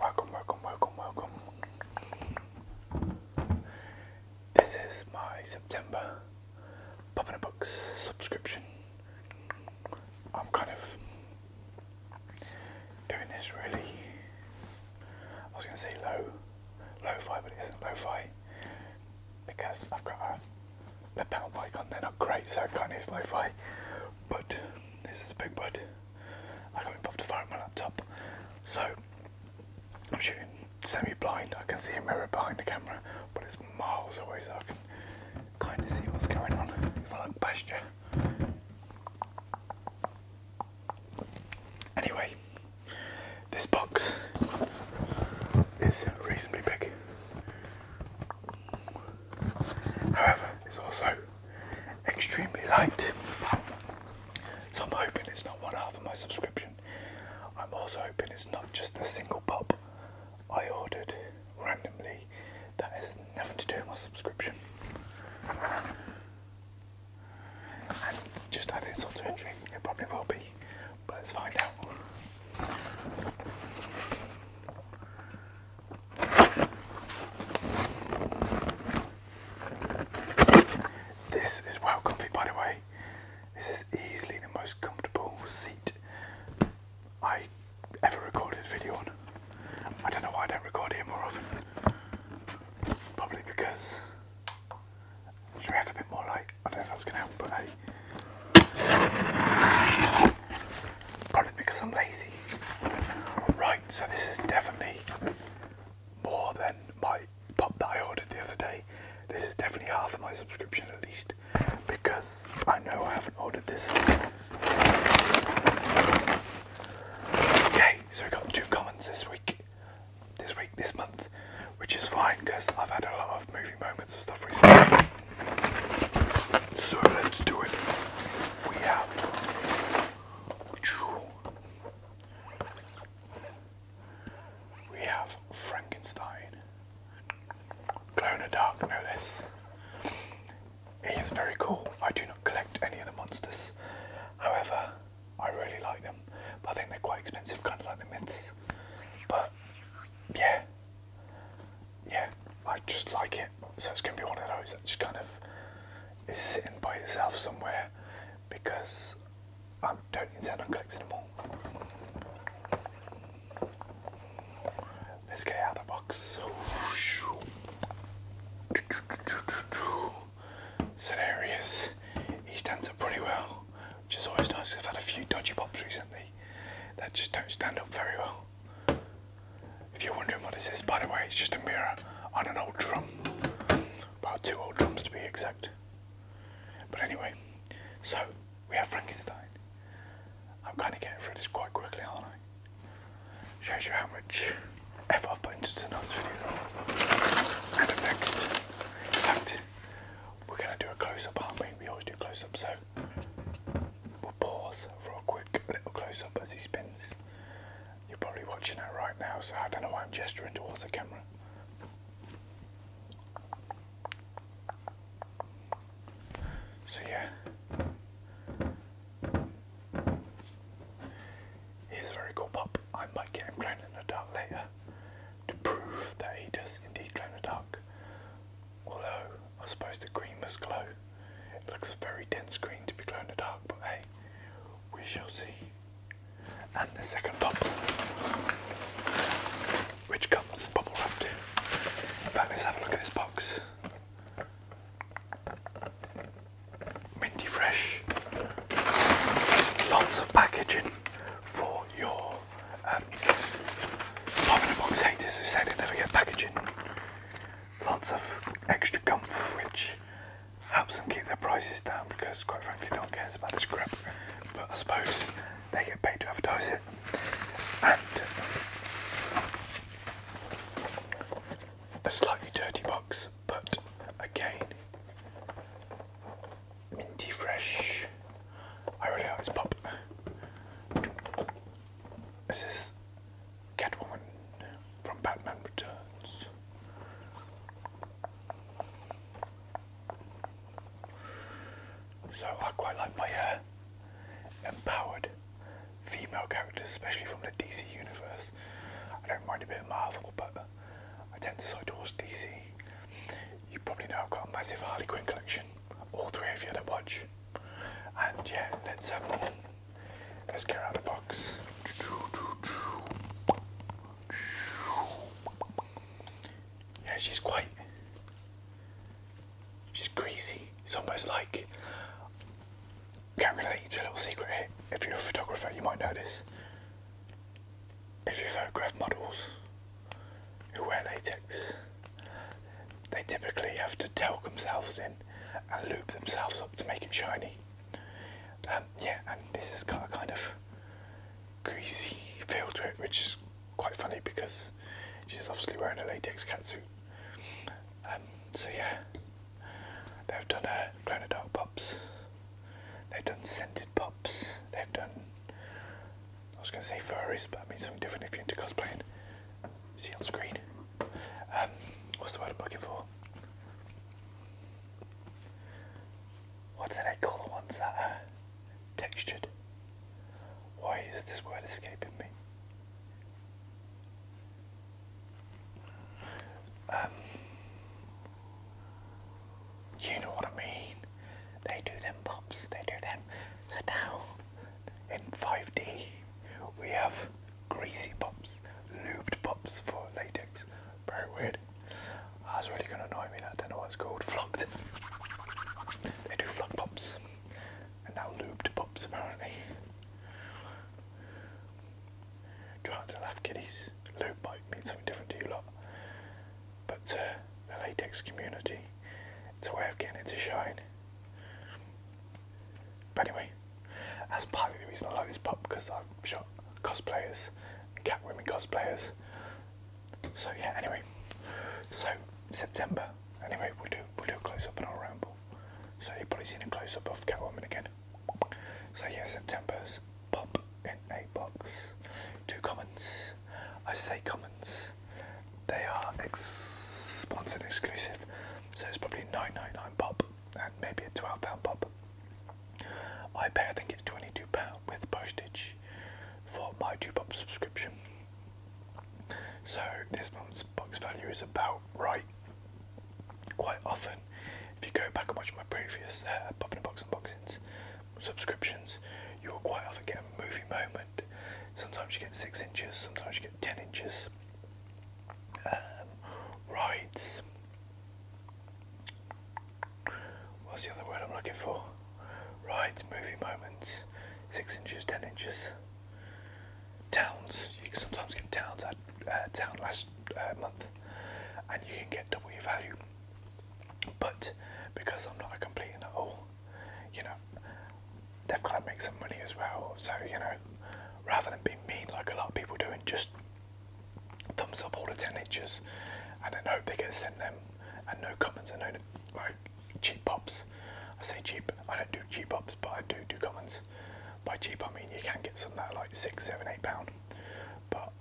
Welcome, welcome, welcome, welcome. This is my September Pop in a Box subscription. I'm kind of doing this really, I was going to say low, lo-fi, but it isn't lo-fi because I've got a lapel mic on, they're not great, so it kind of is lo-fi, but this is a big bud. I got involved to fire at my laptop, so I'm shooting semi-blind, I can see a mirror behind the camera, but it's miles away I can kind of see what's going on if I look past you. Anyway, this box is reasonably big. However, it's also extremely light. So I'm hoping it's not one half of my subscription. I'm also hoping it's not just a single pop. I ordered randomly that has nothing to do with my subscription. just add insult to injury, it probably will be, but let's find out. This is well comfy by the way. This is easily the most comfortable seat I ever recorded a video on. I don't know why I don't record here more often. Probably because. Should have a bit more light? I don't know if that's going to help, but hey. Probably because I'm lazy. Right, so this is definitely more than my pop that I ordered the other day. This is definitely half of my subscription at least because I know I haven't ordered this. Okay, so we got two comments this week, this week, this month, which is fine because I've had a lot of movie moments and stuff recently. So let's do it. We have we have Frankenstein. Glow in dark, know this. It is very cool. I do not collect any of the monsters. However, I really like them. I think they're quite expensive, kind of like the myths. But yeah, yeah, I just like it. So it's going to be one of those that just kind of is sitting by itself somewhere because I don't intend on collecting them all. Let's get out of the box. So there he He stands up pretty well, which is always nice. I've had a few dodgy pops recently that just don't stand up very well. If you're wondering what is this by the way, it's just a mirror on an old drum about two old drums to be exact. But anyway, so we have Frankenstein. I'm kind of getting through this quite quickly, aren't I? Shows you how much effort I've put into tonight's video. And up next, in fact, we're going to do a close up, aren't we? always do close ups so we'll pause for a quick little close up as he spins. You're probably watching that right now, so I don't know why I'm gesturing towards the camera. So, yeah, he's a very cool pup. I might get him glown in the dark later to prove that he does indeed glow in the dark. Although, I suppose the green must glow. It looks very dense green to be glow in the dark, but hey, we shall see and the second pop, which comes bubble wrapped. In fact, let's have a look at this box. Minty Fresh, lots of packaging for your um, pop in a box haters who say they never get packaging. Lots of extra gum, which helps them keep their prices down because quite frankly don't cares about this crap but I suppose they get paid to advertise it and a slightly dirty box but again minty fresh I really like this pop this is Catwoman from Batman Returns. So I quite like my uh, empowered female characters, especially from the DC universe. I don't mind a bit of Marvel, but I tend to side towards DC. You probably know I've got a massive Harley Quinn collection. All three of you that watch. And yeah, let's um, mascara out of the box. Yeah, she's quite. She's greasy. It's almost like. Can't relate a little secret here. If you're a photographer, you might know this. If you photograph models who wear latex, they typically have to tuck themselves in and loop themselves up to make it shiny. Um, yeah, and this has got a kind of greasy feel to it, which is quite funny because she's obviously wearing a latex catsuit. Um, so yeah, they've done uh, Adult Pops, they've done Scented Pops, they've done, I was going to say furries, but I mean something different if you're into cosplaying. See on screen. Um, what's the word I'm looking for? What's did I call the ones that are textured? Why is this word escaping me? Um, you know what I mean. They do them pops, they do them. So now in 5D, we have greasy pops, lubed pops for latex. Very weird. That's really gonna annoy me. That I don't know what it's called. Flocked. They do flock pops, and now lubed pops apparently. Trying to laugh, kiddies. Lube might mean something different to you lot, but uh, the latex community. It's a way of getting it to shine. But anyway, that's partly the reason I like this pop because I've shot cosplayers, Catwomen cosplayers. So yeah, anyway, so September. Anyway, we'll do we'll do a close up and I'll ramble. So you've probably seen a close up of Catwoman again. So yeah, September's pop in a box. Two comments. I say comments. They are ex sponsored exclusive, so it's probably 9.99 pop and maybe a 12 pound pop. I pay, I think it's 22 pound with postage for my two pop subscription. So this month's box value is about right. Quite often, if you go back and watch my previous uh, popping and box unboxings, subscriptions, you will quite often get a movie moment. Sometimes you get six inches, sometimes you get ten inches. Um, rides. What's the other word I'm looking for? Rides, movie moments, six inches, ten inches. Towns. You can sometimes get towns. at uh, town last uh, month, and you can get double value. But because I'm not a complete and all you know, they've got to make some money as well. So, you know, rather than being mean like a lot of people do and just thumbs up all the 10 inches and then hope they get sent them and no comments and no like cheap pops. I say cheap, I don't do cheap pops, but I do do comments. By cheap, I mean you can get some that are like six, seven, eight pound, but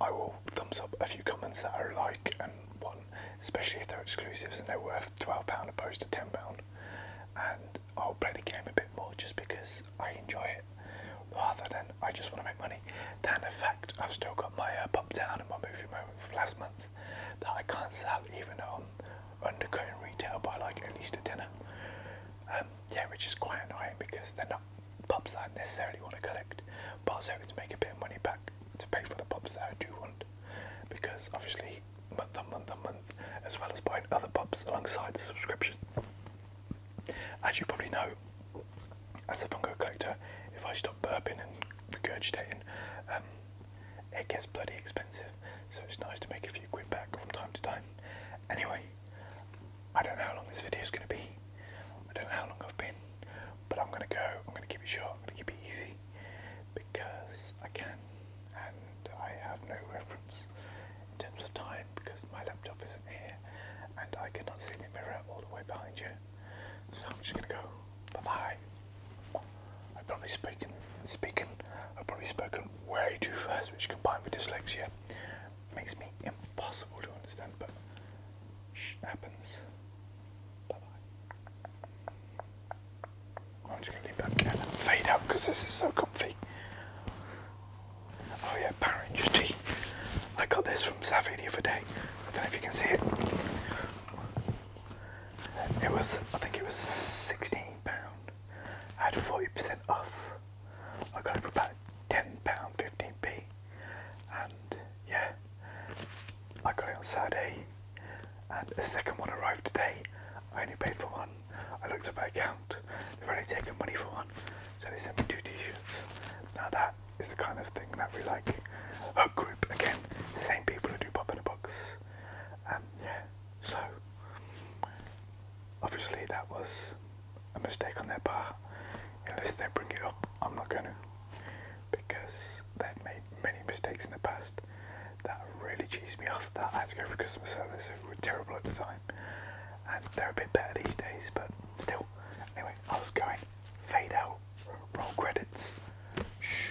I will thumbs up a few comments that are like and one, especially if they're exclusives and they're worth £12 opposed to £10. And I'll play the game a bit more just because I enjoy it rather than I just want to make money. Then, in fact, I've still got my uh, pop down and my movie moment from last month that I can't sell even on undercutting retail by like at least a dinner. Um, yeah, which is quite annoying because they're not pubs I necessarily want to collect, but I was hoping to make a bit of money back to pay for the pubs that I do want, because obviously month on month on month, as well as buying other pubs alongside the subscription. As you probably know, as a Funko collector, if I stop burping and regurgitating, um, it gets bloody expensive, so it's nice to make a few quid back from time to time. Anyway, I don't know how long this video is going to be. I don't know how long I've been. But I'm gonna go. I'm gonna keep it short. I'm gonna keep it easy because I can, and I have no reference in terms of time because my laptop isn't here, and I cannot see the mirror all the way behind you. So I'm just gonna go. Bye bye. I've probably spoken, speaking. I've probably spoken way too fast, which combined with dyslexia makes me impossible to understand. But Shh, happens. Bye bye. I'm just gonna leave that can fade out because this is so comfy. Oh yeah, Power Rangers I got this from Savvy the other day. I don't know if you can see it. It was, I think it was £16. I had 40% off. I got it for about ten pound fifteen p, and yeah, I got it on Saturday, and a second one arrived today. I only paid for one. I looked at my account; they've only taken money for one, so they sent me two T-shirts. Now that is the kind of thing that we like. A group again, same people who do pop in a box. and yeah. So obviously that was a mistake on their part. Unless they bring it up, I'm not going to. Because they've made many mistakes in the past that really cheesed me off that I had to go for customer service who were terrible at design, And they're a bit better these days, but still. Anyway, I was going. Fade out. Roll credits. Shh.